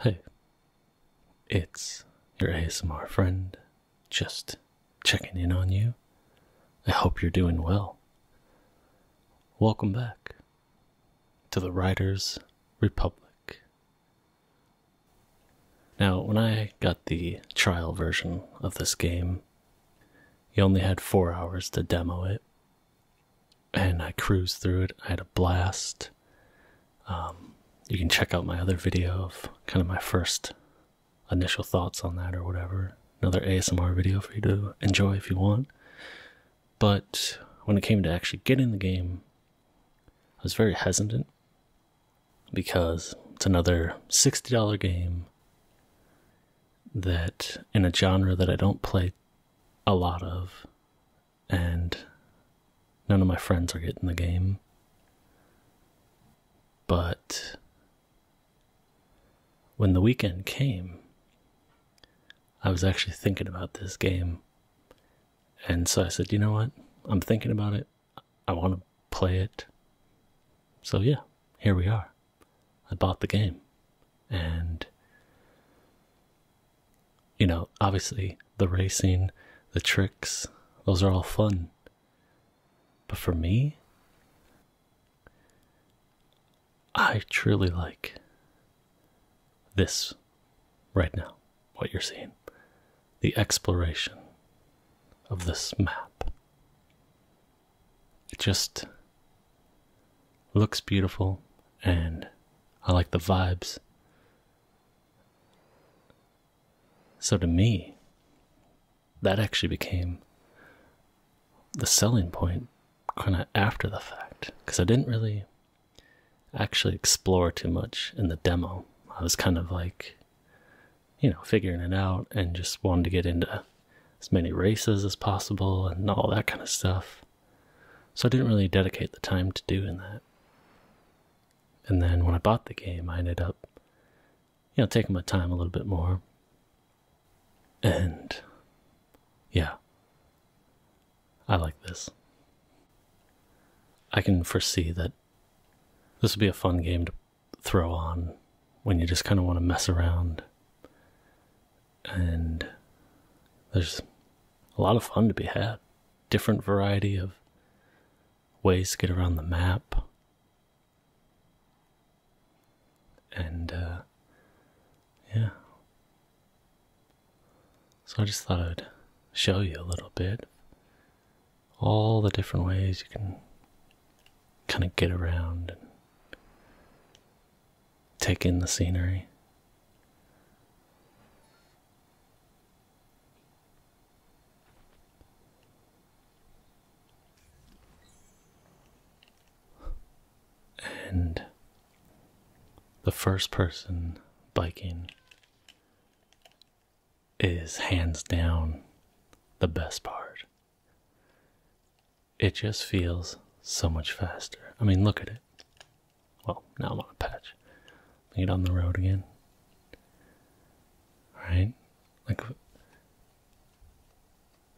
Hey, it's your ASMR friend, just checking in on you. I hope you're doing well. Welcome back to the Writers Republic. Now, when I got the trial version of this game, you only had four hours to demo it, and I cruised through it. I had a blast. Um, you can check out my other video of kind of my first initial thoughts on that or whatever. Another ASMR video for you to enjoy if you want. But when it came to actually getting the game, I was very hesitant because it's another $60 game that in a genre that I don't play a lot of, and none of my friends are getting the game. But when the weekend came, I was actually thinking about this game. And so I said, you know what? I'm thinking about it. I want to play it. So yeah, here we are. I bought the game. And, you know, obviously the racing, the tricks, those are all fun. But for me, I truly like this right now, what you're seeing the exploration of this map. It just Looks beautiful, and I like the vibes. So to me, that actually became the selling point kind of after the fact because I didn't really actually explore too much in the demo. I was kind of like, you know, figuring it out and just wanted to get into as many races as possible and all that kind of stuff. So I didn't really dedicate the time to doing that. And then when I bought the game, I ended up, you know, taking my time a little bit more. And yeah, I like this. I can foresee that this will be a fun game to throw on when you just kind of want to mess around and there's a lot of fun to be had. Different variety of ways to get around the map. And, uh, yeah. So I just thought I'd show you a little bit all the different ways you can kind of get around take in the scenery. And the first person biking is hands down the best part. It just feels so much faster. I mean, look at it. Well, now I'm on a patch. Get on the road again. Right? Like,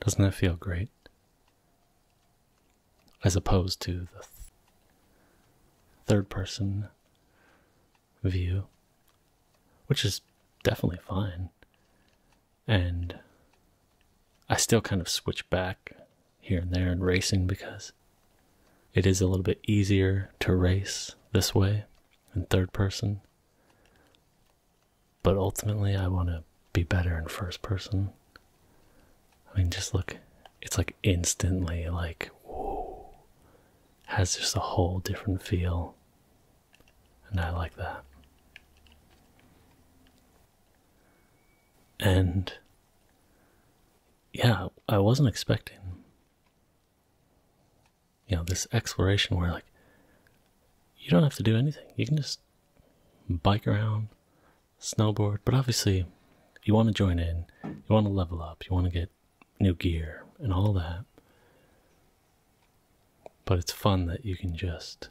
doesn't that feel great? As opposed to the third person view, which is definitely fine and I still kind of switch back here and there in racing because it is a little bit easier to race this way in third person. But ultimately, I want to be better in first person. I mean, just look, it's like instantly, like, whoa, has just a whole different feel. And I like that and yeah, I wasn't expecting you know this exploration where like you don't have to do anything. You can just bike around, snowboard, but obviously you want to join in, you want to level up, you want to get new gear and all that. But it's fun that you can just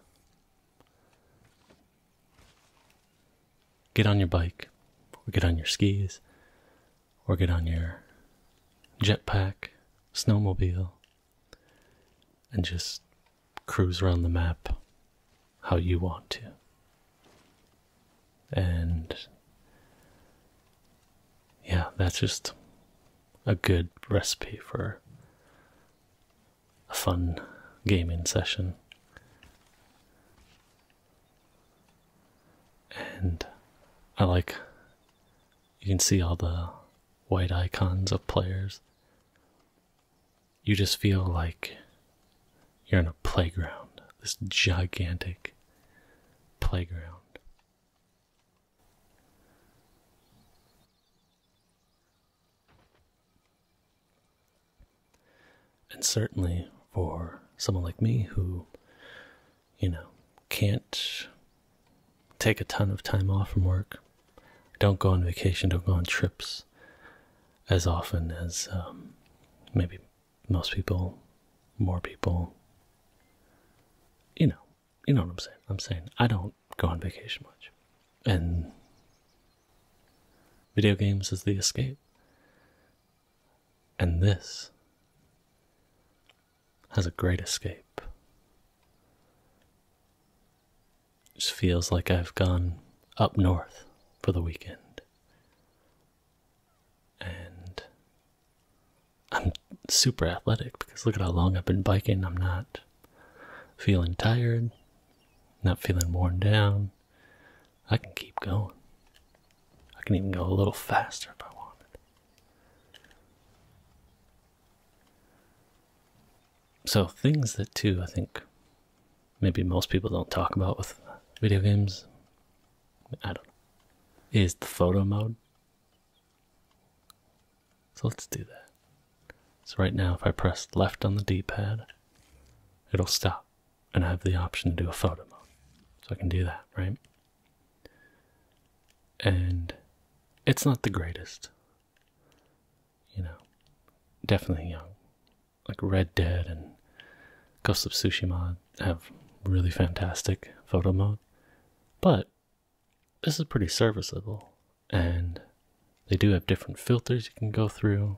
Get on your bike, or get on your skis, or get on your jetpack, snowmobile, and just cruise around the map how you want to. And yeah, that's just a good recipe for a fun gaming session. And I like you can see all the white icons of players. You just feel like you're in a playground, this gigantic playground. And certainly for someone like me who, you know, can't take a ton of time off from work, don't go on vacation, don't go on trips as often as um, maybe most people, more people. You know, you know what I'm saying. I'm saying I don't go on vacation much and video games is the escape. And this has a great escape. just feels like I've gone up north for the weekend. And I'm super athletic because look at how long I've been biking. I'm not feeling tired. Not feeling worn down. I can keep going. I can even go a little faster if I wanted. So, things that, too, I think maybe most people don't talk about with video games, I don't know, is the photo mode. So let's do that. So right now, if I press left on the D-pad, it'll stop, and I have the option to do a photo mode. So I can do that, right? And it's not the greatest. You know, definitely young. Know, like Red Dead and Ghost of Tsushima have really fantastic photo mode, but this is pretty serviceable and they do have different filters you can go through.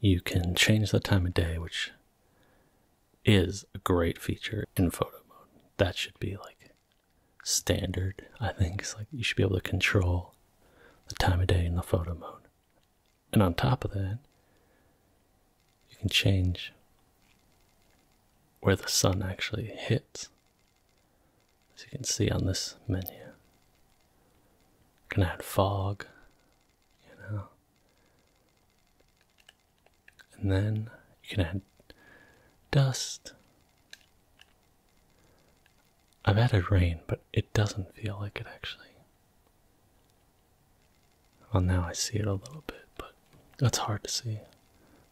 You can change the time of day, which is a great feature in photo mode. That should be like standard, I think. It's like you should be able to control the time of day in the photo mode. And on top of that, you can change where the sun actually hits as you can see on this menu, you can add fog, you know, and then you can add dust. I've added rain, but it doesn't feel like it actually. Well, now I see it a little bit, but that's hard to see.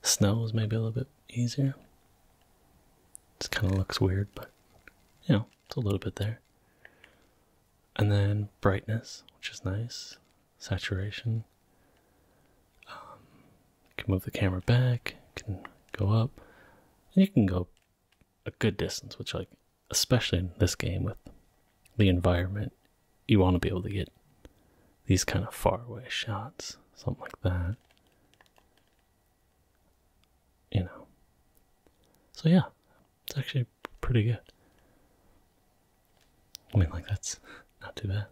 Snow is maybe a little bit easier. It kind of looks weird, but you know, it's a little bit there. And then brightness, which is nice. Saturation. Um, you can move the camera back, you can go up, and you can go a good distance, which like especially in this game with the environment, you want to be able to get these kind of far away shots, something like that you know. So yeah, it's actually pretty good. I mean, like that's not too bad.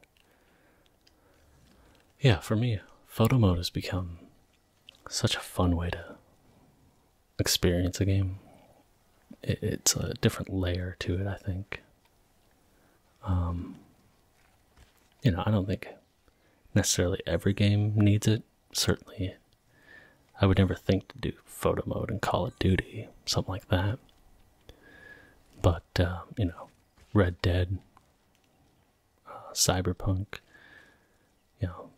Yeah, for me, photo mode has become such a fun way to experience a game. it's a different layer to it, I think. Um, you know, I don't think necessarily every game needs it. Certainly, I would never think to do photo mode in Call of Duty, something like that. But, uh, you know, Red Dead, uh, Cyberpunk, you know,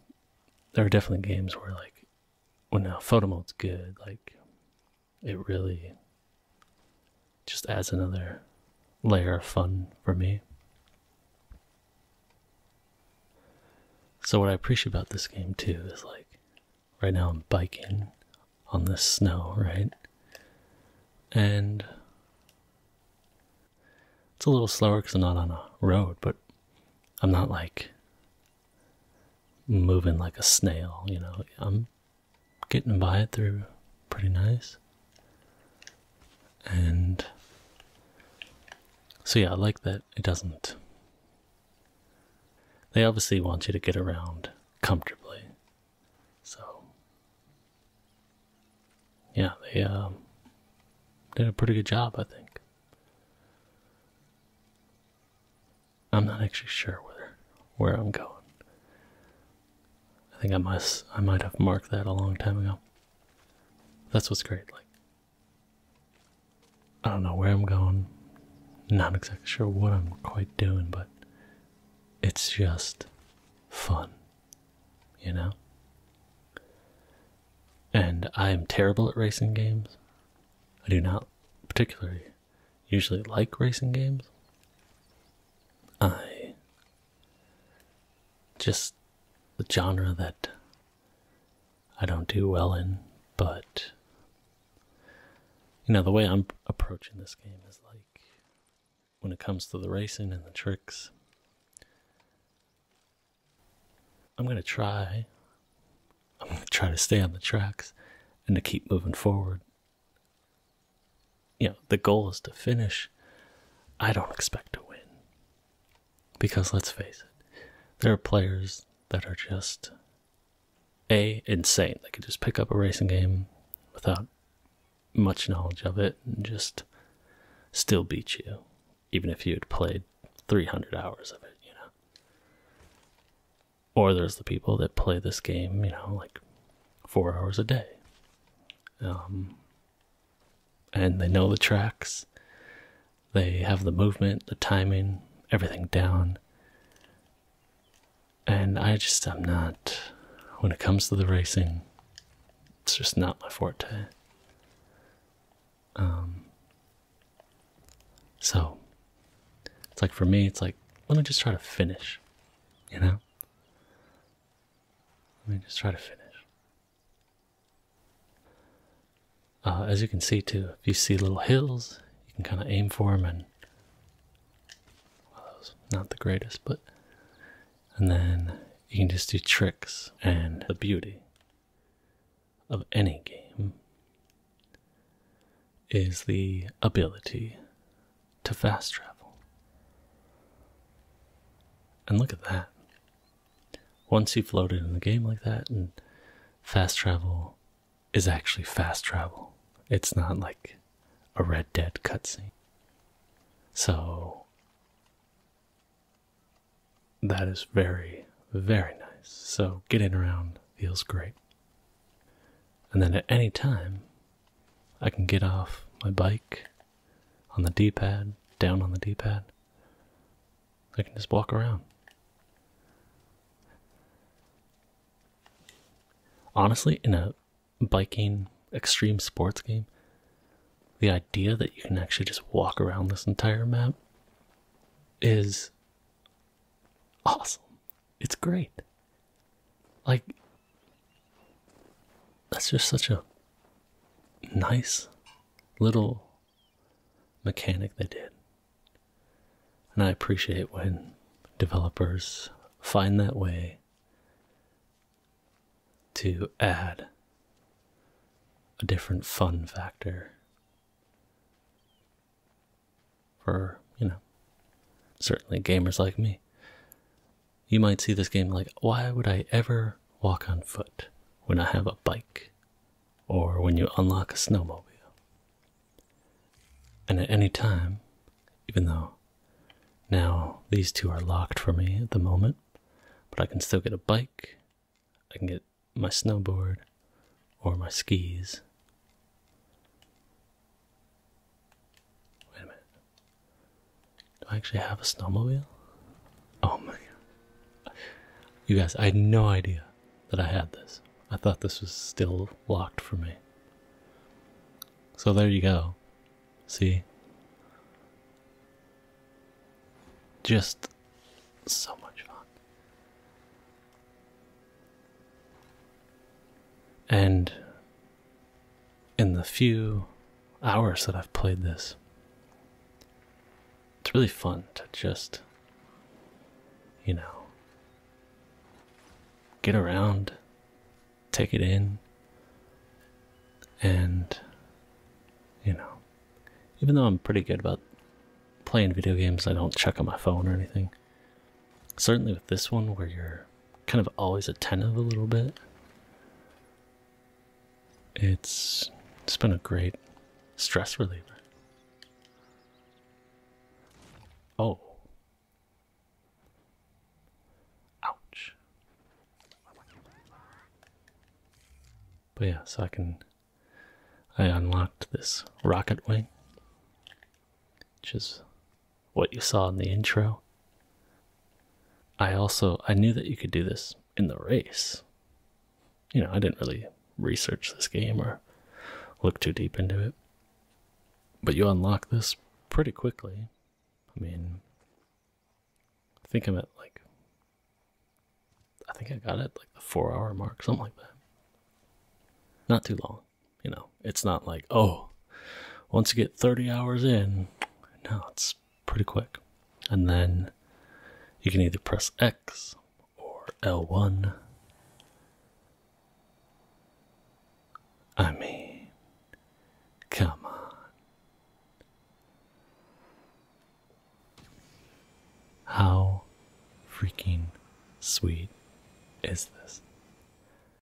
there are definitely games where, like, when well, now photo mode's good, like, it really just adds another layer of fun for me. So, what I appreciate about this game too is like right now I'm biking on the snow, right? And it's a little slower because I'm not on a road, but I'm not like moving like a snail, you know. I'm getting by it through pretty nice. And so, yeah, I like that it doesn't. They obviously want you to get around comfortably. So, yeah, they um, did a pretty good job, I think. I'm not actually sure where where I'm going. I think I must I might have marked that a long time ago. That's what's great, like I don't know where I'm going, not exactly sure what I'm quite doing, but it's just fun, you know? And I am terrible at racing games. I do not particularly usually like racing games. I just the genre that I don't do well in, but you know, the way I'm approaching this game is like when it comes to the racing and the tricks, I'm going to try. I'm going to try to stay on the tracks and to keep moving forward you know, the goal is to finish. I don't expect to win. Because let's face it, there are players that are just A, insane. They could just pick up a racing game without much knowledge of it and just still beat you, even if you had played 300 hours of it, you know. Or there's the people that play this game, you know, like four hours a day um, and they know the tracks. They have the movement, the timing, everything down. And I just, I'm not, when it comes to the racing, it's just not my forte. Um, so, it's like for me, it's like, let me just try to finish, you know? Let me just try to finish. Uh, as you can see too, if you see little hills, you can kind of aim for them and well, that was not the greatest, but and then you can just do tricks and the beauty of any game is the ability to fast travel. And look at that. Once you've floated in a game like that, and fast travel is actually fast travel, it's not like a Red Dead cutscene. So, that is very, very nice. So, getting around feels great. And then at any time, I can get off my bike on the D pad, down on the D pad. I can just walk around. Honestly, in a biking extreme sports game, the idea that you can actually just walk around this entire map is awesome. It's great. Like, that's just such a nice little mechanic they did. And I appreciate when developers find that way to add a different fun factor for, you know, certainly gamers like me. You might see this game like, why would I ever walk on foot when I have a bike? Or when you unlock a snowmobile. And at any time, even though now these two are locked for me at the moment, but I can still get a bike, I can get my snowboard, or my skis. Wait a minute. Do I actually have a snowmobile? Oh my god. You guys, I had no idea that I had this. I thought this was still locked for me. So there you go. See? Just so much fun. And in the few hours that I've played this. It's really fun to just, you know, get around, take it in, and, you know, even though I'm pretty good about playing video games, I don't check on my phone or anything. Certainly with this one, where you're kind of always attentive a little bit. It's it's been a great stress reliever. Oh. Ouch. But yeah, so I can I unlocked this rocket wing, which is what you saw in the intro. I also I knew that you could do this in the race. You know, I didn't really research this game or look too deep into it. But you unlock this pretty quickly. I mean, I think I'm at like I think I got it like the 4 hour mark, something like that. Not too long. You know, it's not like, oh, once you get 30 hours in, no, it's pretty quick. And then you can either press X or L1. I mean, come on. How freaking sweet is this?